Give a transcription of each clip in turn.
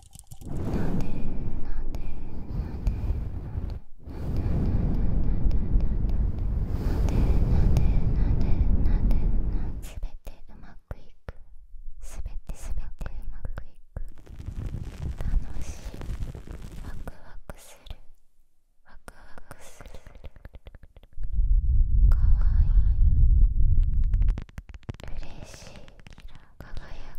なんでなんでなんでなんでなんでなんでなんでなんでなんでなんでなんすべてうまくいくすべてすべてうまくいく楽しいワクワクするワクワクするかわいい嬉しい輝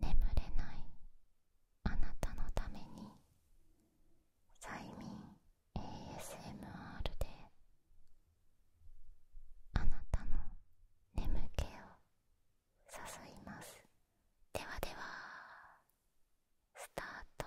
眠れないあなたのために催眠 ASMR であなたの眠気を誘いますではではスタート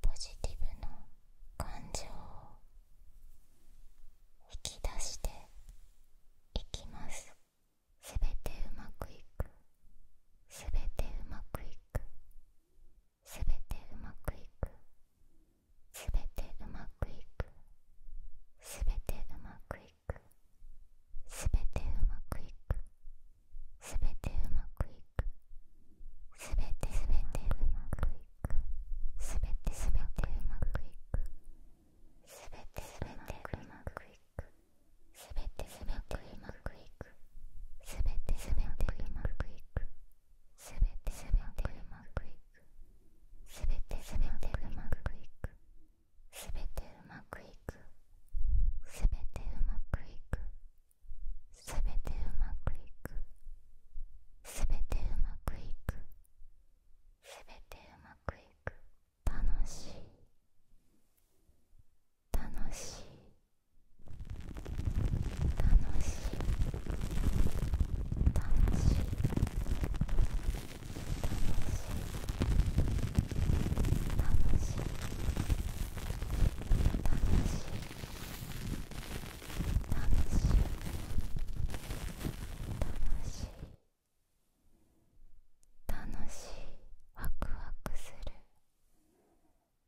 ポジティブの感情を引き出していきますすべてうまくいくすべてうまくいくすべてうまくいくすべてうまくいくすべてうまくいくすべてうまくいくすべてうまくいくすべてすべてうまくいくすべてすべてうまくいくすべてすべてうまくいくすべてすべてうまくいくすべてすべてうまくいくすべてうまくいくすてうまくいくすてうまくいくすべてうまくいくすべてうまくいくすべてうまくいくすべてうまくいく楽しい楽しい楽しい楽しい楽しいしい楽しいワクワクする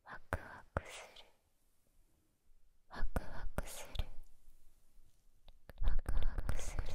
ワクワクするワクワクするワクワクする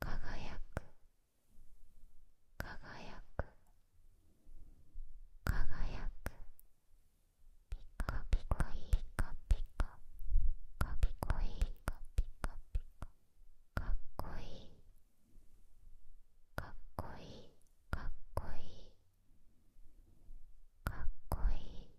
輝く輝く輝くピカピカいいカピカピカピカいいカピカピカかっこいいかっこいいかっこいいかっこいい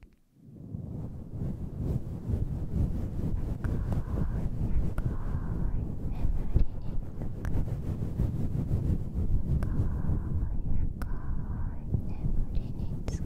眠りにつく。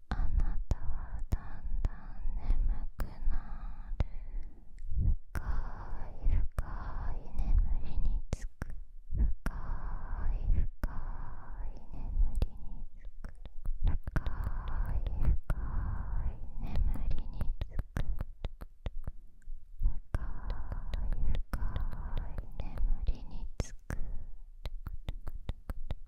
あなたはだんだん眠くなる深い深い眠りにつく深い深い眠りにつく深い深い眠りにつく深い深い眠りにつく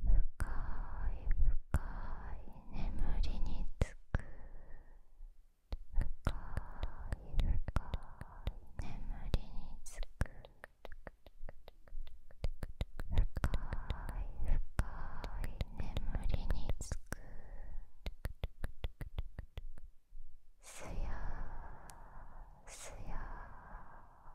深い深い眠りにつく深い深い眠りにつく深い深い眠りにつくすやすや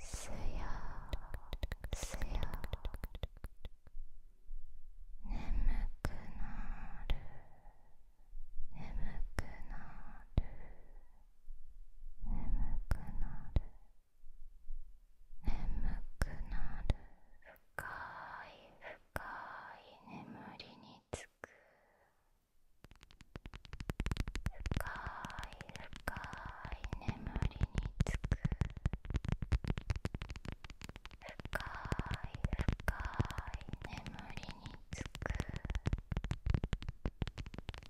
すやすよ眠くなる眠くなる眠くなる眠くなる深い深い眠りにつく深い深い眠りにつく深い深い眠りにつく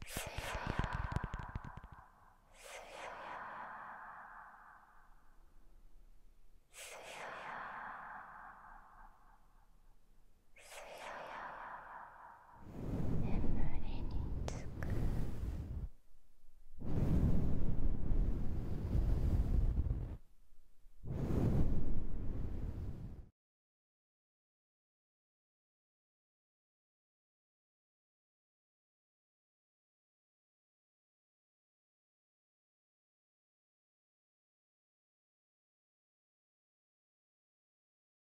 すそやすそやすそやすそや眠りにつく